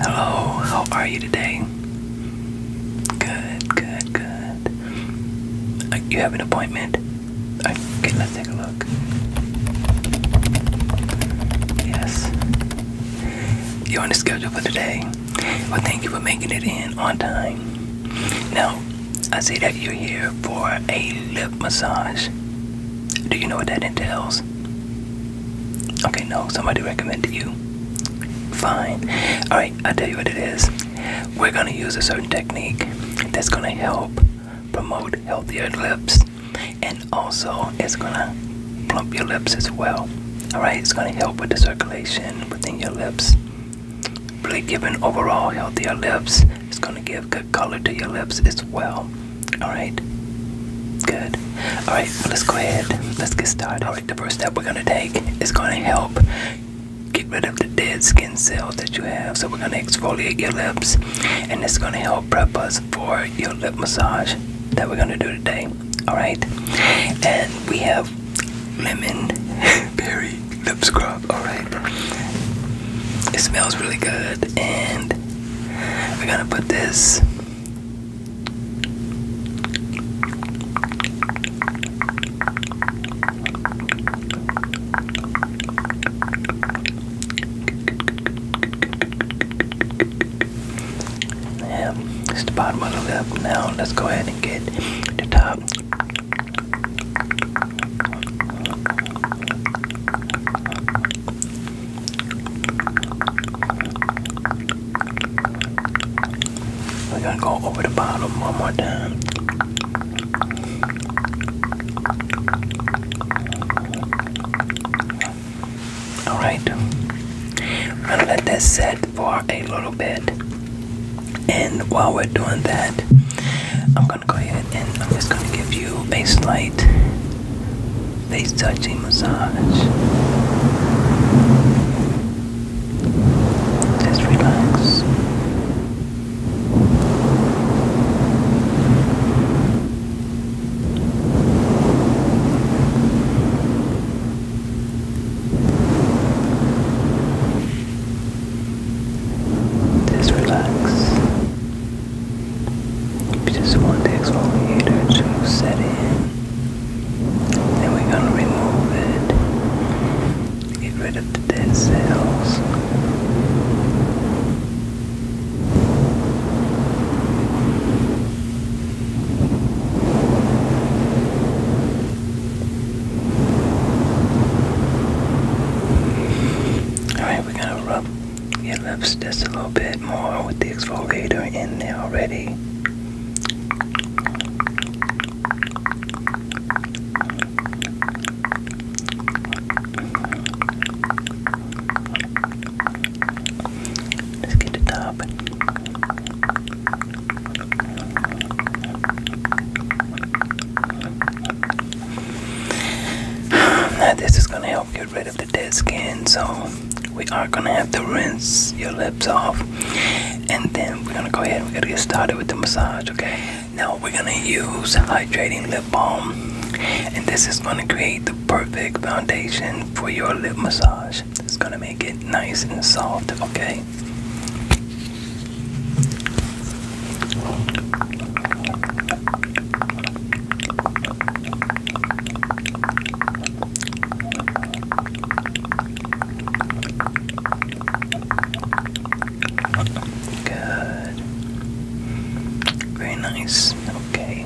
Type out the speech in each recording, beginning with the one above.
Hello, how are you today? Good, good, good. Uh, you have an appointment? Okay, let's take a look. Yes. You're on the schedule for today. Well, thank you for making it in on time. Now, I see that you're here for a lip massage. Do you know what that entails? Okay, no, somebody recommended you. Fine. Alright, I'll tell you what it is. We're gonna use a certain technique that's gonna help promote healthier lips and also it's gonna plump your lips as well. Alright, it's gonna help with the circulation within your lips. Really giving overall healthier lips. It's gonna give color to your lips as well. All right. Good. All right. let's go ahead. Let's get started. All right. The first step we're gonna take is gonna help get rid of the dead skin cells that you have. So we're gonna exfoliate your lips, and it's gonna help prep us for your lip massage that we're gonna do today. All right. And we have lemon. berry lip scrub. Alright. It smells really good. And we're gonna put this yeah, it's the bottom of the lip. Now let's go ahead and get the top. We're gonna go over the bottom one more time. Alright, I'm gonna let that set for a little bit. And while we're doing that, I'm gonna go ahead and I'm just gonna give you a light, face touching massage. Just relax. Just relax. We just want the exfoliator to set in. Then we're gonna remove it. Get rid of the dead cells. Alright, we're gonna rub your lips just a little bit more with the exfoliator in there already. Let's get the top. Now this is gonna help get rid of the dead skin, so we are gonna have to rinse your lips off, and then we're gonna go ahead and we're gonna get started with the massage. Okay, now we're gonna use hydrating lip balm, and this is gonna create the perfect foundation for your lip massage. It's gonna make it nice and soft. Okay, Good. Very nice. Okay.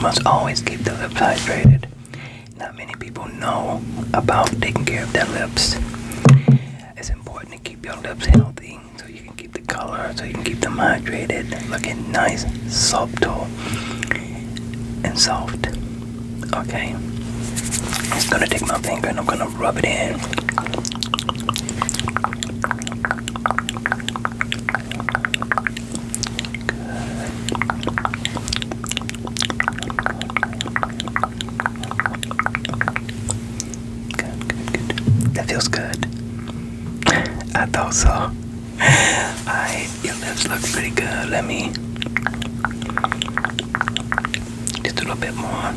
Must always keep the lips hydrated. Not many people know about taking care of their lips. It's important to keep your lips healthy so you can keep the color, so you can keep them hydrated, looking nice, subtle, and soft. Okay. i Just gonna take my finger and I'm gonna rub it in. That feels good. I thought so. Alright, your lips look pretty good. Let me just a little bit more.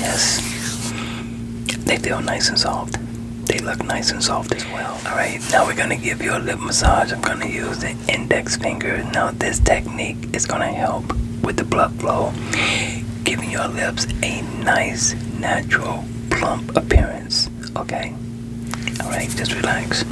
Yes. They feel nice and soft. They look nice and soft as well. Alright, now we're gonna give you a lip massage. I'm gonna use the index finger. Now, this technique it's going to help with the blood flow, giving your lips a nice, natural, plump appearance. Okay? Alright, just relax.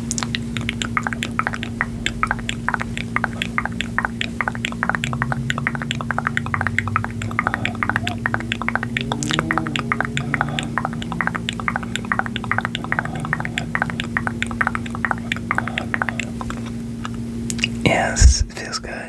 Yes, feels good.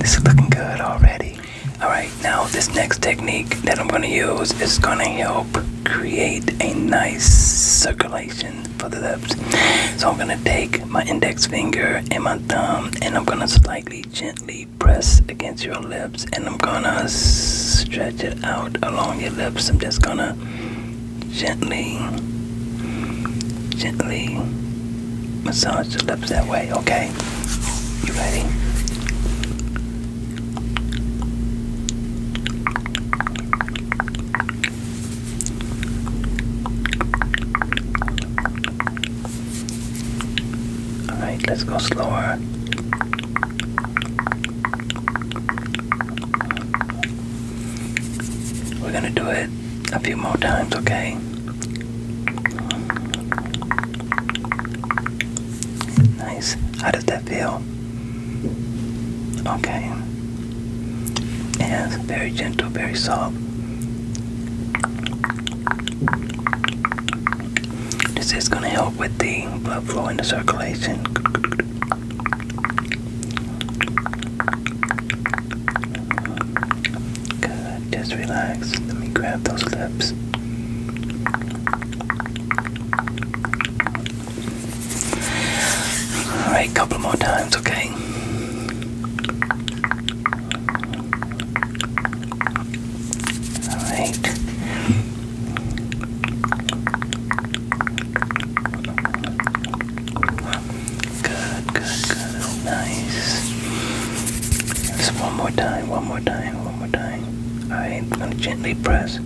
This is looking good already. Alright, now this next technique that I'm going to use is going to help create a nice circulation for the lips. So I'm going to take my index finger and my thumb and I'm going to slightly gently press against your lips, and I'm gonna stretch it out along your lips. I'm just gonna gently, gently massage your lips that way, okay? You ready? Alright, let's go slower. We're gonna do it a few more times, okay? Nice. How does that feel? Okay. Yes, very gentle, very soft. This is going to help with the blood flow and the circulation. just relax. Let me grab those lips. Alright, couple more times, okay? All right. Good, good, good. Nice. Just one more time, one more time, one more time. All right, gently press.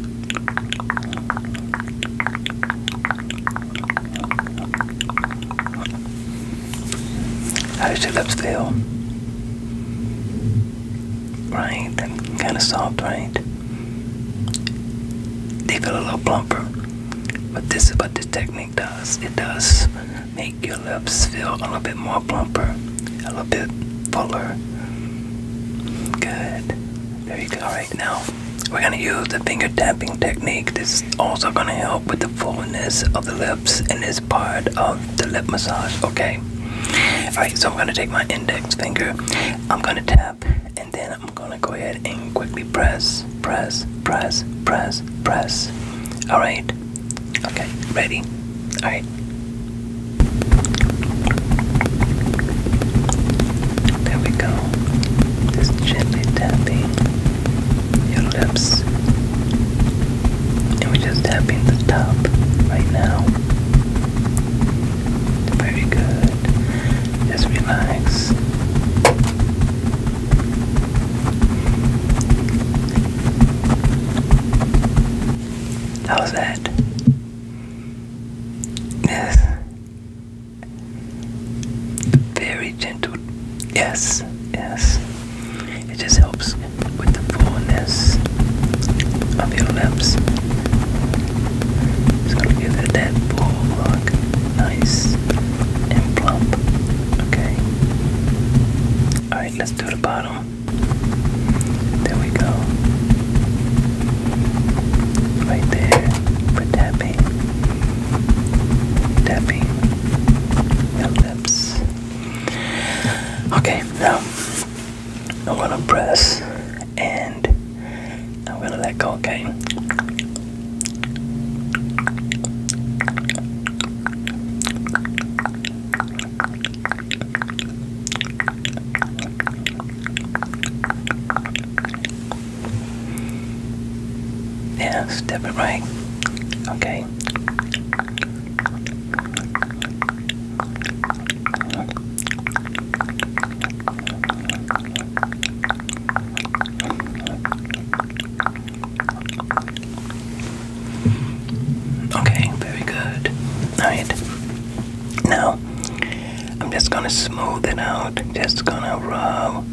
How How's your lips feel? Right, kind of soft, right? They feel a little plumper, but this is what this technique does. It does make your lips feel a little bit more plumper, a little bit fuller. Good, There you go. Right now we're gonna use the finger tapping technique. This also going to help with the fullness of the lips and is part of the lip massage. Okay. Alright, so I'm going to take my index finger, I'm going to tap, and then I'm going to go ahead and quickly press, press, press, press, press. Alright. Okay, ready? Alright. There we go. Just gently tapping your lips. And we're just tapping the top right now. Very good. Just relax. How's that? Yes very gentle. Yes, yes. It just helps with the fullness of your lips. It's gonna give it that full look, nice and plump. Okay. All right, let's do the bottom. There we go. Right there. Put that baby tapping lips. Okay, now I'm gonna press and I'm gonna let go, okay? Yeah, step it right. Okay. Okay, very good. Alright. Now, I'm just gonna smooth it out. Just gonna rub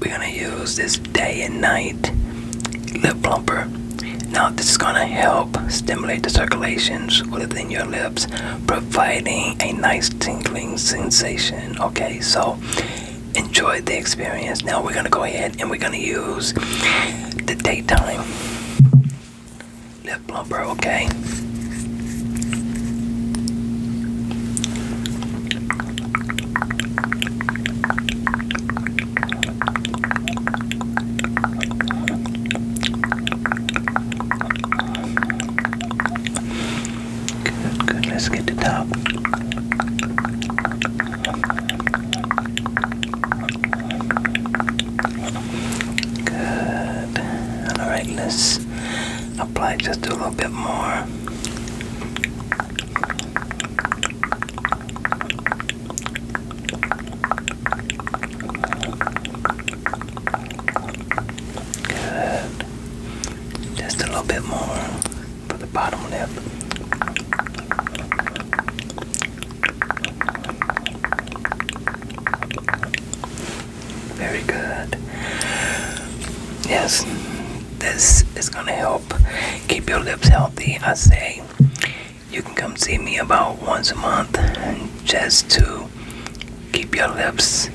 we're gonna use this day and night lip plumper now this is gonna help stimulate the circulations within your lips providing a nice tingling sensation okay so enjoy the experience now we're gonna go ahead and we're gonna use the daytime lip plumper okay Good, Let's get the top. Good. All right, let's apply just a little bit more. Good. Just a little bit more for the bottom lip. Very good. Yes, this is gonna help keep your lips healthy. I say you can come see me about once a month just to keep your lips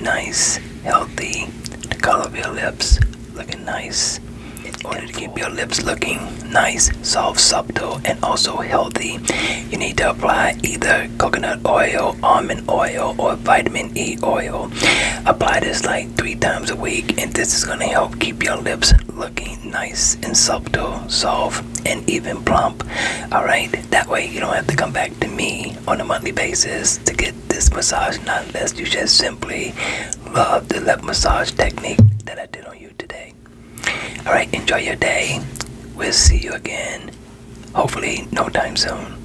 nice, healthy, the color of your lips looking nice. In order to keep your lips looking nice, soft, subtle, and also healthy, you need to apply either coconut oil, almond oil, or vitamin E oil. Apply this like three times a week, and this is gonna help keep your lips looking nice and subtle, soft, and even plump. All right, that way you don't have to come back to me on a monthly basis to get this massage, not unless you just simply love the lip massage technique that I did on you today. All right, enjoy your day. We'll see you again, hopefully, no time soon.